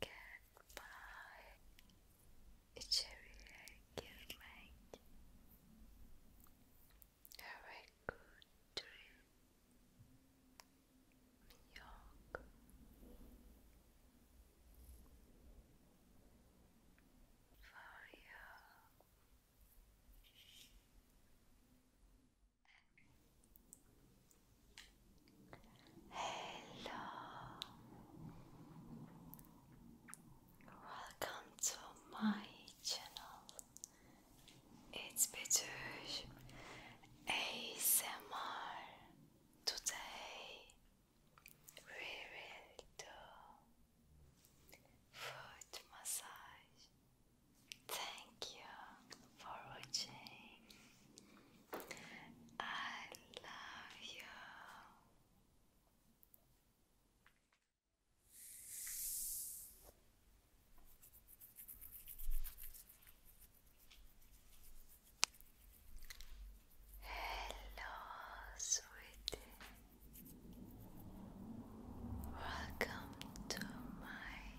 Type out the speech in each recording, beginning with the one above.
Goodbye. İçeriye girmek. Have a good dream. Yok. For you. Hello, welcome to my channel. It's Betüş ASMR. Today we will do foot massage. Thank you for watching. I love you. Hello, sweetie. Welcome to my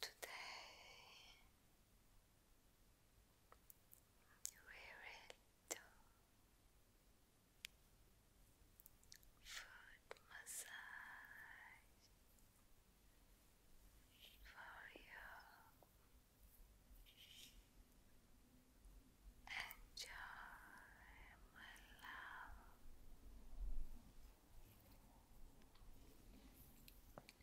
Today we will do foot massage for you. Enjoy my love.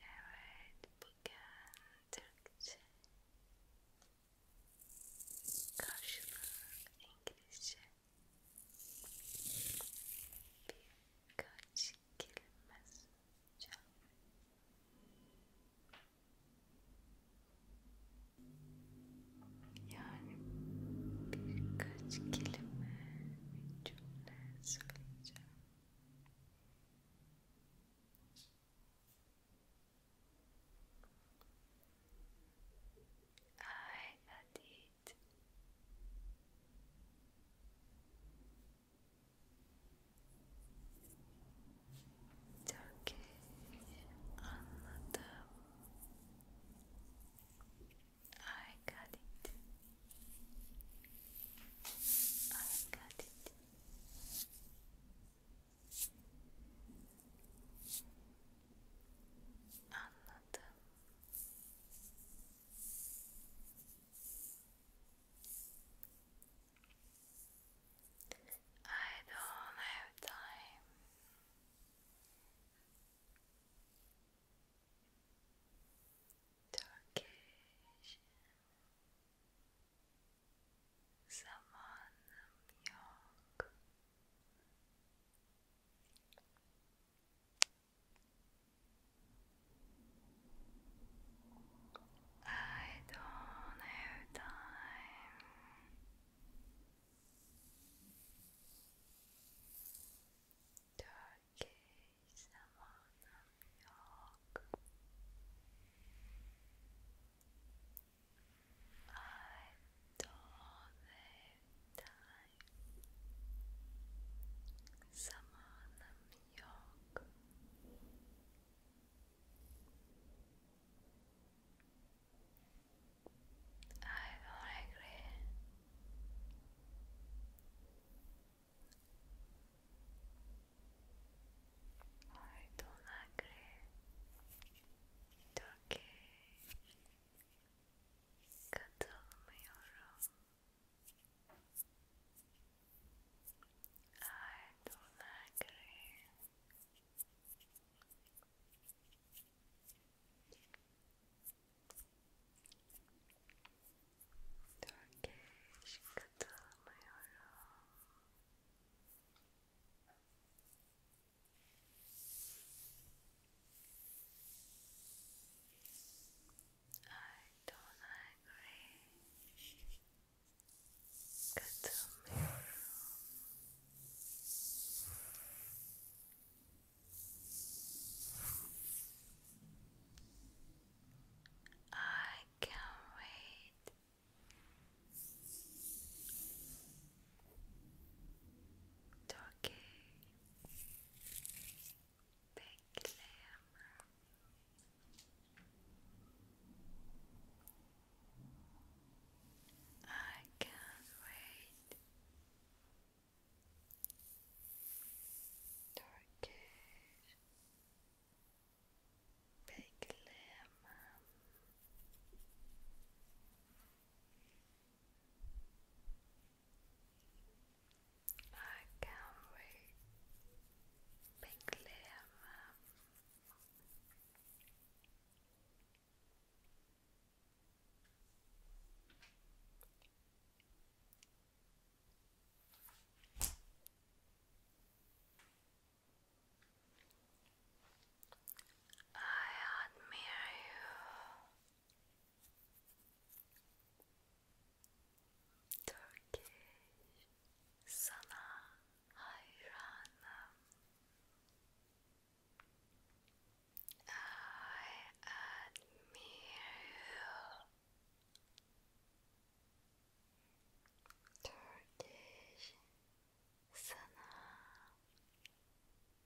Evet, bugün Türkçe karşılığı İngilizce birkaç kelime basacağım. Yani birkaç kelime, bir cümle söyleyeceğim. I had it. I Turkey anladım. I got it. I got it. Anladım. I don't have time. Turkish. Zaman yok. I don't have time. Turkey is York. I don't have time zamanım yok I don't agree I don't agree It's okay Katılmıyorum I don't agree. Turkish katılmıyorum. I don't agree. Get to me. I can't wait. Turkey. Bekleme I can't wait Turkish Bekleme I can't wait. Beklemem. I admire you. Turkish I admire you. Turkish sana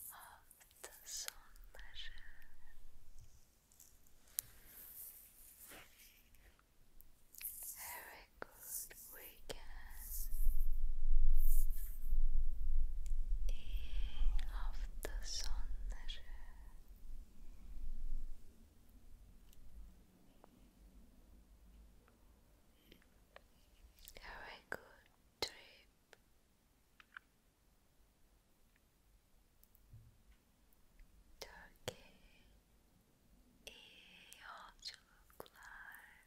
hafta sonları have good weekend iyi hafta sonları have good drip. Turkey iyi yolculuklar.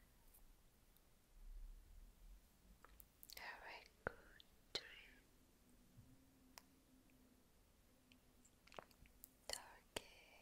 Have a good dream. Turkish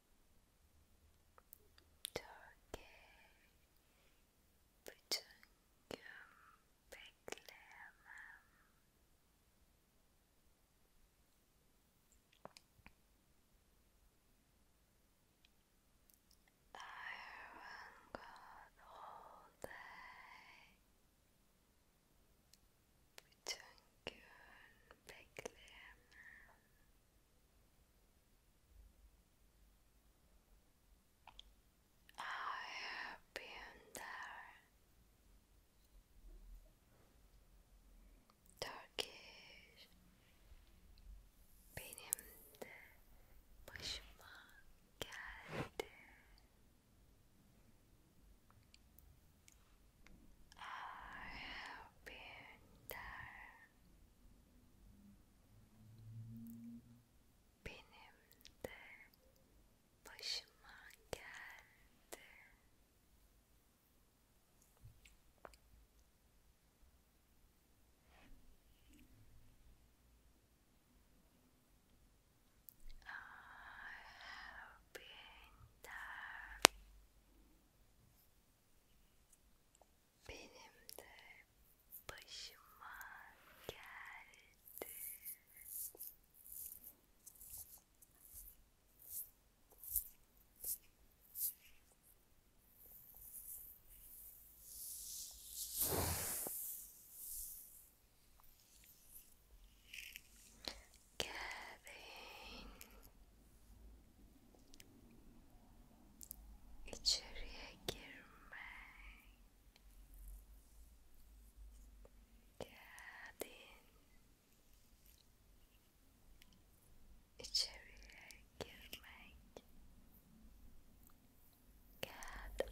저에게 부정금 백레만 I run God all day 부정금 백레만 I have been there. Turkish benim de geldi. I have been there, benimde başıma geldi. I have been there. Benim de geldi getting içeriye girmek geldin içeriye girmek get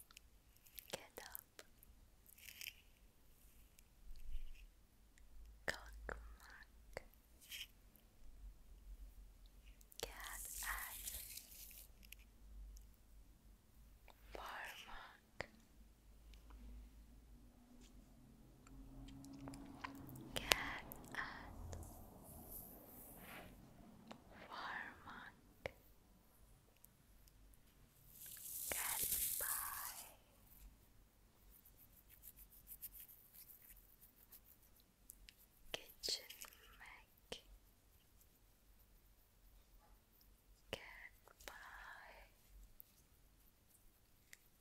Get up. Cockmark. Get at. Barmark. Get at. Farmark. Goodbye. Kitchen Mac. Goodbye.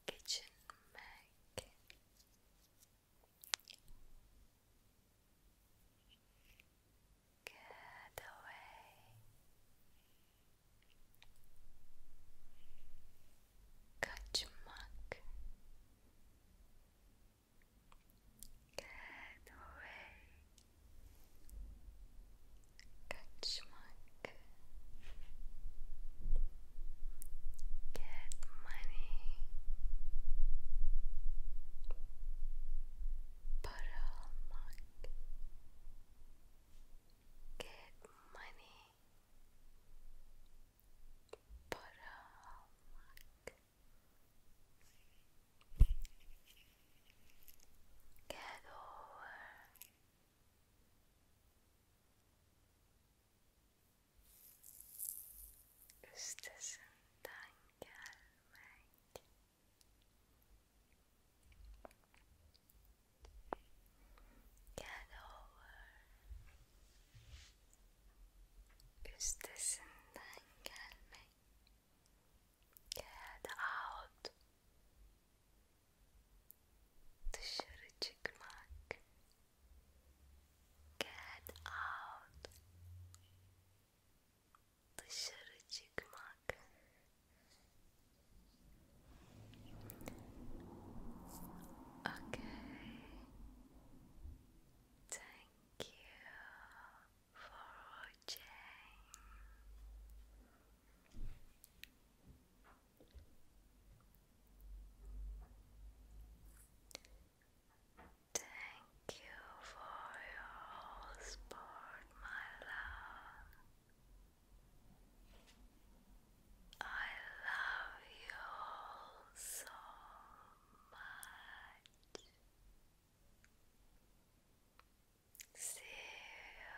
Kitchen Mac. Get away. Kaçmak. Get away. Kaçmak. money. Paramak. Get money. Paramak. Get over. Üstesin gelmek Get over üstesinden Get out. Dışarı çıkmak. Get out dışarı çıkmak okay thank you for watching Thank you for your support, my love. I love you so much. See you.